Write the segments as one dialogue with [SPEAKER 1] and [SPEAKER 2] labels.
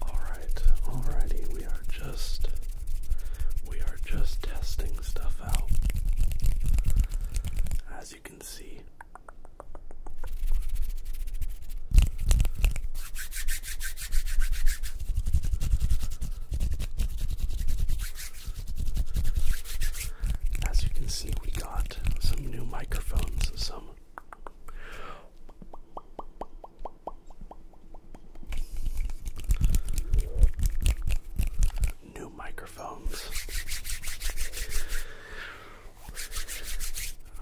[SPEAKER 1] Alright, alrighty, we are just we are just testing stuff out. As you can see. As you can see, we got some new microphones, some New microphones.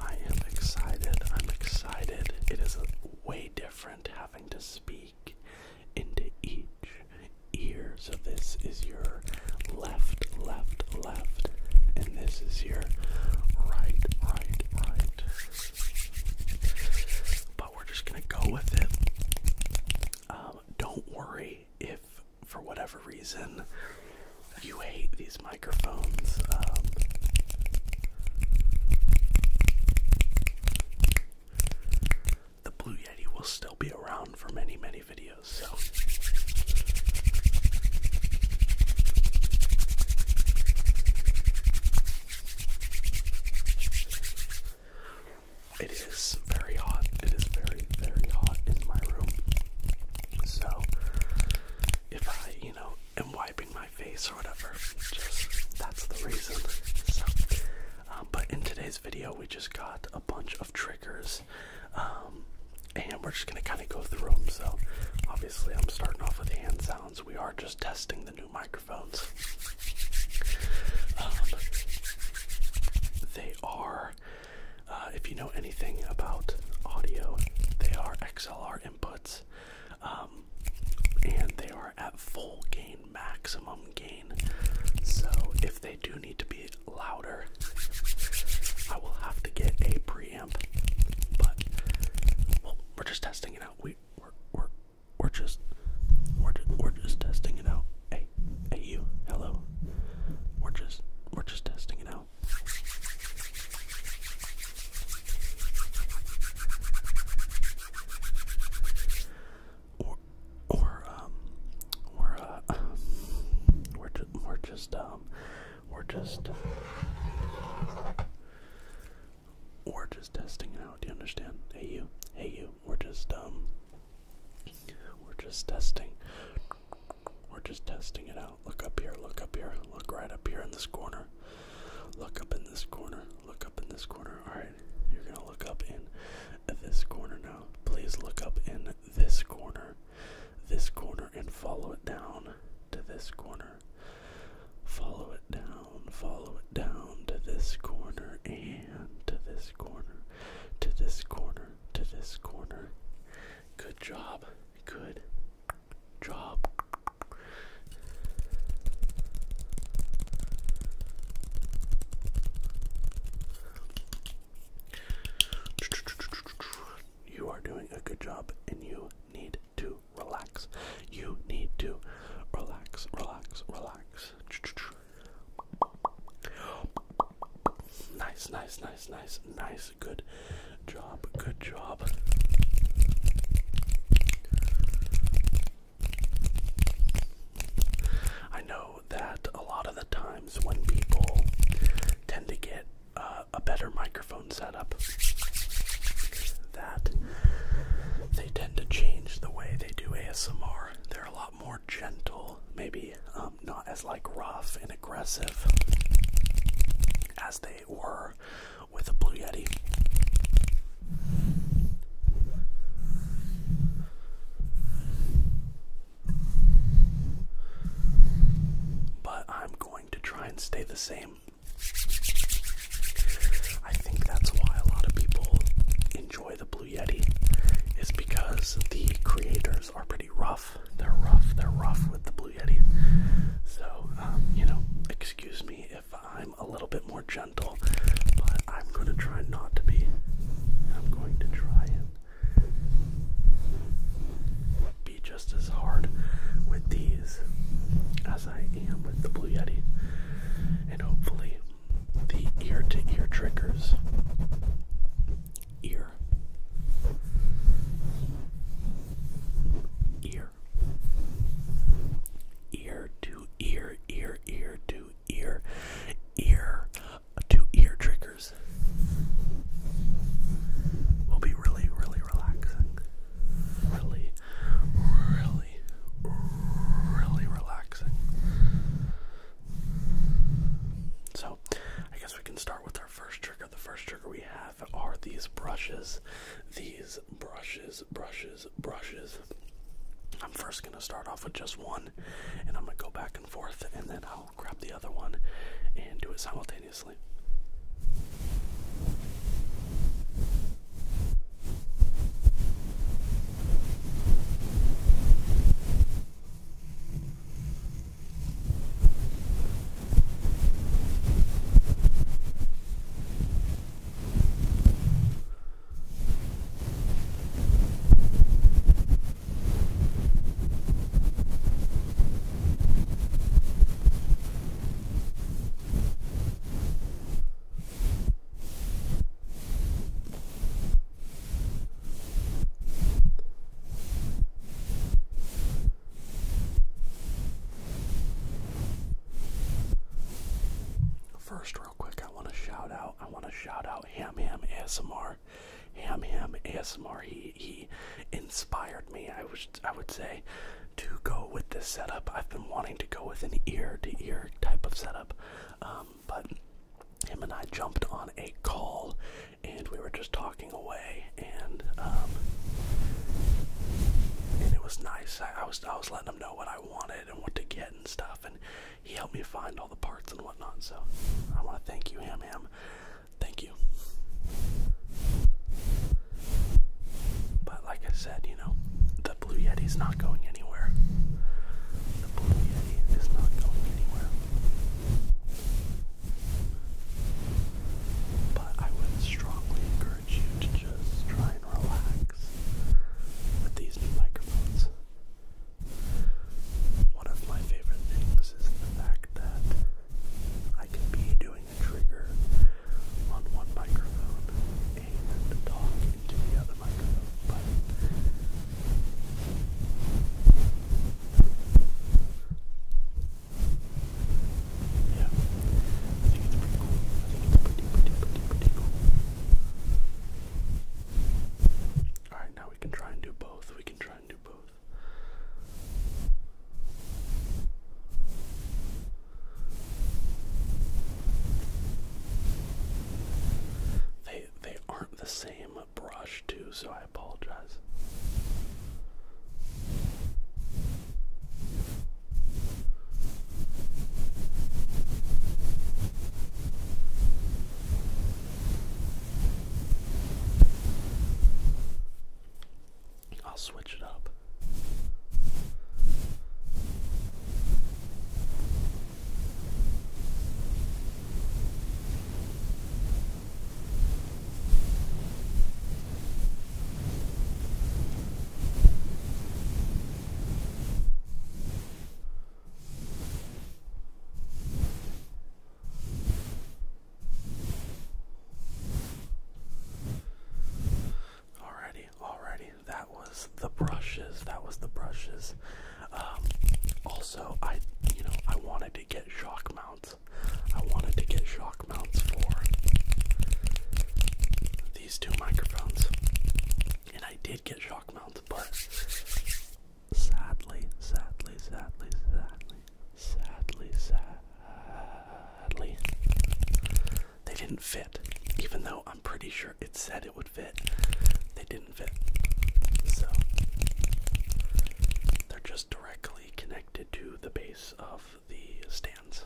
[SPEAKER 1] I am excited. I'm excited. It is way different having to speak into each ear. So, this is your left, left, left, and this is your right, right, right. But we're just gonna go with it. Um, don't worry if, for whatever reason, you hate these microphones. Um, the Blue Yeti will still be around for many, many videos, so it is very hot. It is very, very hot in my room. So, if I, you know, am wiping my face or whatever, that's the reason. So, um, but in today's video, we just got a bunch of triggers, um, and we're just gonna kind of go through them. So, obviously, I'm starting off with hand sounds. We are just testing the new microphones. Um, they are, uh, if you know anything about audio, they are XLR inputs, um, and they are at full gain, maximum gain. So if they do need to be louder, I will have to get a preamp, but we're just testing it out. We we're we we're just we're just, we're just testing it out. Hey, hey you, hello. We're just we're just testing it out. Or or um, or uh, we're just um, we're just we're just we're just testing it out, do you understand? Hey you, hey you, we're just um we're just testing. We're just testing it out. Look up here, look up here, look right up here in this corner. Look up in this corner, look up in this corner. Alright, you're gonna look up in this corner now. Please look up in this corner, this corner, and follow it down to this corner. Follow it down, follow it down to this corner and to this corner, to this corner, to this corner. Good job, good job. You are doing a good job and you need to relax. You need to relax, relax, relax. Nice, nice, nice, nice, nice. Good job, good job. I know that a lot of the times when people tend to get uh, a better microphone setup. That they tend to change the way they do ASMR. They're a lot more gentle, maybe um, not as like rough and aggressive as they were with a Blue Yeti. But I'm going to try and stay the same I think that's why a lot of people enjoy the Blue Yeti, is because the creators are pretty rough. They're rough. They're rough with the Blue Yeti. So, um, you know, excuse me if I'm a little bit more gentle, but I'm going to try not to be. I'm going to try and be just as hard with these as I am with the Blue Yeti. And hopefully, the ear to ear triggers. Ear. Ear. Ear to ear, ear, ear to ear, ear to ear triggers will be really, really relaxing really, really, really relaxing. So, I guess we can start with our first trigger. The first trigger we have are these brushes. These brushes, brushes, brushes. I'm first going to start off with just one, and I'm going to go back and forth, and then I'll grab the other one and do it simultaneously simultaneously. All First, real quick, I want to shout out. I want to shout out Ham Ham ASMR. Ham Ham ASMR. He he inspired me. I was I would say to go with this setup. I've been wanting to go with an ear to ear type of setup, um, but him and I jumped on a call, and we were just talking away, and um, and it was nice. I, was I was letting him know what I wanted and what to get and stuff, and he helped me find all the parts and whatnot. So I want to thank you, him, him. Thank you. But like I said, you know, the Blue Yeti's not going anywhere. The Blue Yeti is not going anywhere. But I would strongly encourage you to just try and relax with these new microphones. One of my favorite things is the fact that I can be doing a trigger on one microphone and talk into the other microphone, but yeah, I think it's pretty cool. I think it's pretty, pretty, pretty, pretty cool. Alright, now we can try and do both. We can try and do both. They they aren't the same brush too, so I apologize. I'll switch it up. Alrighty, alrighty. That was the brushes. That was the brushes. Um, also, I, you know, I wanted to get shock mounts. I wanted to get shock mounts for these two microphones, and I did get shock mounts, but sadly, sadly, sadly, sadly, sadly, sadly, sad, they didn't fit, even though I'm pretty sure it said it would fit. They didn't fit. So, they're just directly connected to the base of the stands.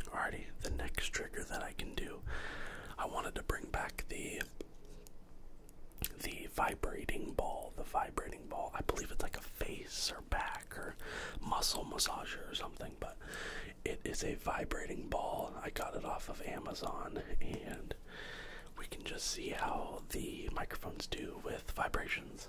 [SPEAKER 1] Alrighty, the next trigger that I can do, I wanted to bring back the the vibrating ball. The vibrating ball. I believe it's like a face or back or muscle massager or something, but it is a vibrating ball. I got it off of Amazon and we can just see how the microphones do with vibrations.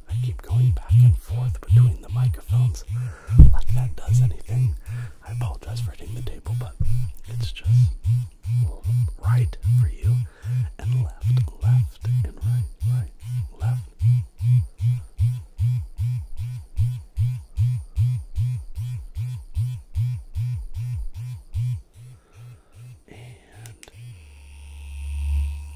[SPEAKER 1] I keep going back and forth between the microphones like that does anything. I apologize for hitting the table, but it's just right for you and left,
[SPEAKER 2] left, and right, right, left. And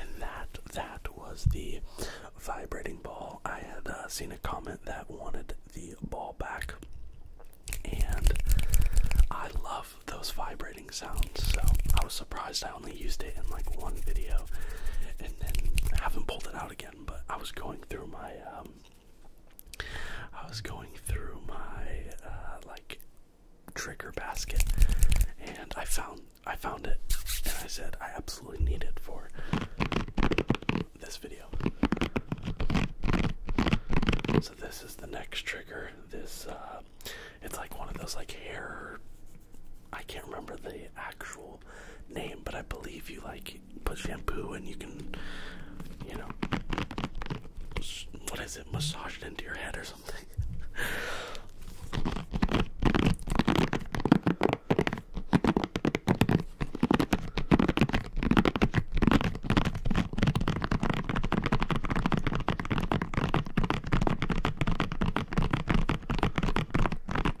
[SPEAKER 1] And that that was the vibrating ball. I had uh, seen a comment that wanted the ball back, and I love those vibrating sounds. So I was surprised I only used it in like one video, and then I haven't pulled it out again. But I was going through my, um, I was going through my uh, like trigger basket, and I found I found it, and I said I absolutely need it for this video. So this is the next trigger. This uh, it's like one of those like hair. I can't remember the actual name, but I believe you like put shampoo and you can, you know, what is it, massage it into your head or something.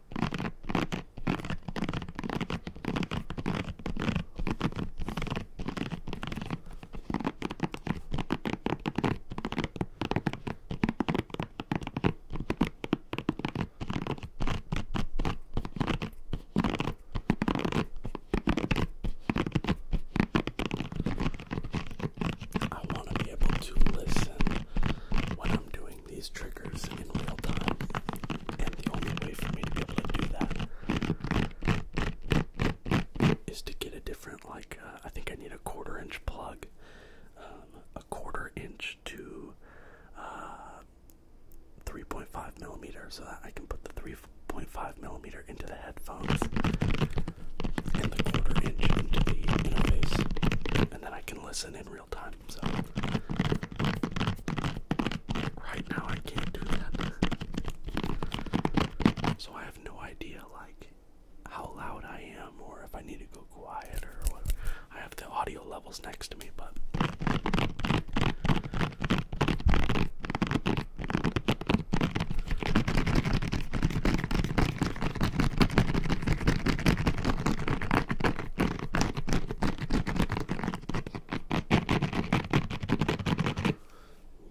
[SPEAKER 1] I want to be able to listen What I'm doing these triggers in real time. And the only way for me to be able to do that is to get a different, like, uh, I think I need a quarter inch plug. Um, a quarter inch to uh, 3.5 millimeter so that I can put the 3.5 millimeter into the headphones and the quarter inch into the interface, and then I can listen in right now I can't do that. So I have no idea like how loud I am or if I need to go quieter or whatever. I have the audio levels next to me, but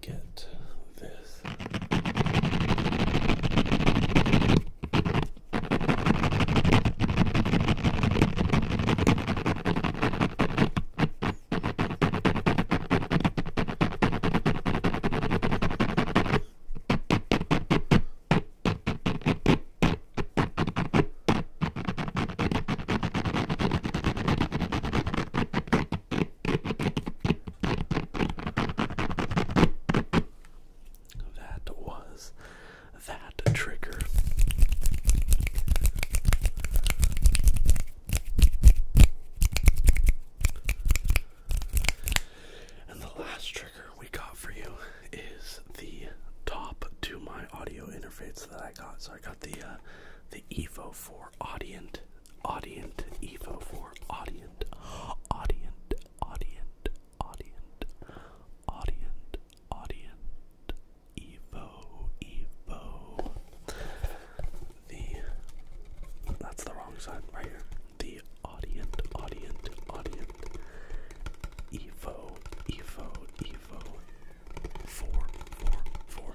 [SPEAKER 2] get this. That was that trigger. And the last trigger we got for you is the top to my audio interface that I got. So I got the uh, the Evo 4 Audient, Audient Evo 4 Audient, Audient, Audient, Audient, Audient, Audient, Evo, Evo. The that's the wrong side right here. The Audient, Audient, Audient, Evo, Evo, Evo. Evo four four four.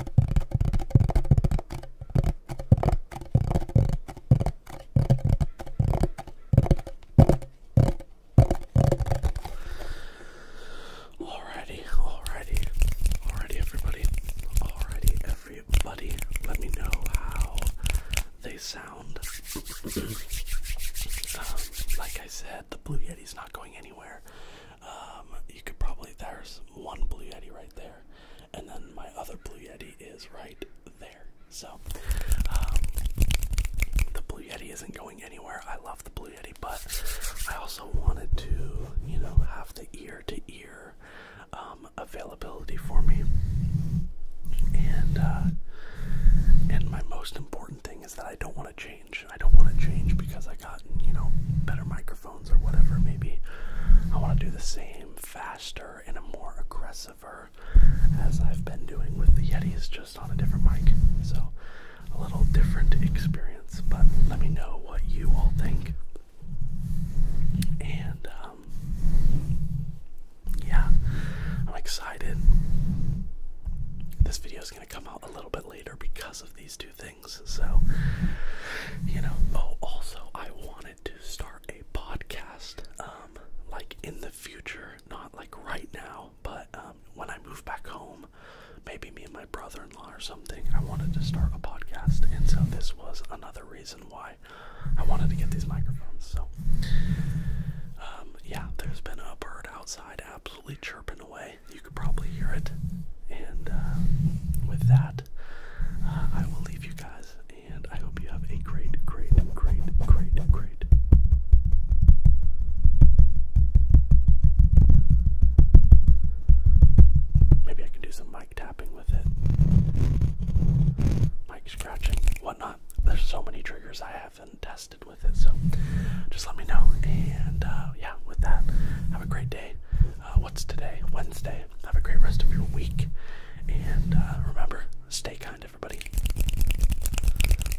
[SPEAKER 1] Alrighty, alrighty, alrighty, everybody, alrighty, everybody. Let me know how they sound. Um, like I said, the Blue Yeti's not going anywhere. Um, you could probably there's one blue yeti right there, and then my other blue yeti is right there. So um, the blue yeti isn't going anywhere. I love the blue yeti, but I also wanted to, you know, have the ear to ear um, availability for me. And uh, and my most important thing is that I don't want to change I don't want to change because I got, you know, better microphones or whatever. Maybe I want to do the same faster and a more aggressive as I've been doing with the Yetis just on a different mic. So a little different experience, but let me know what you all think. And um, yeah, I'm excited. This video is going to come out a little bit later because of these two things. So, you know, oh, also, I wanted to start a podcast, um, like in the future, not like right now, but um, when I move back home, maybe me and my brother in law or something, I wanted to start a podcast. And so, this was another reason why I wanted to get these microphones. So, um, yeah, there's been a bird outside, absolutely chirping away. You could probably hear it. And uh, with that, uh, I will leave you guys, and I hope you have a great, great, great, great, great. Maybe I can do some mic tapping with it, mic scratching, whatnot. There's so many triggers I haven't tested with it, so just let me know. And uh, yeah, with that, have a great day. Uh, what's today? Wednesday. Have a great rest of your week. And uh, remember, stay kind, everybody.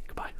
[SPEAKER 1] Goodbye.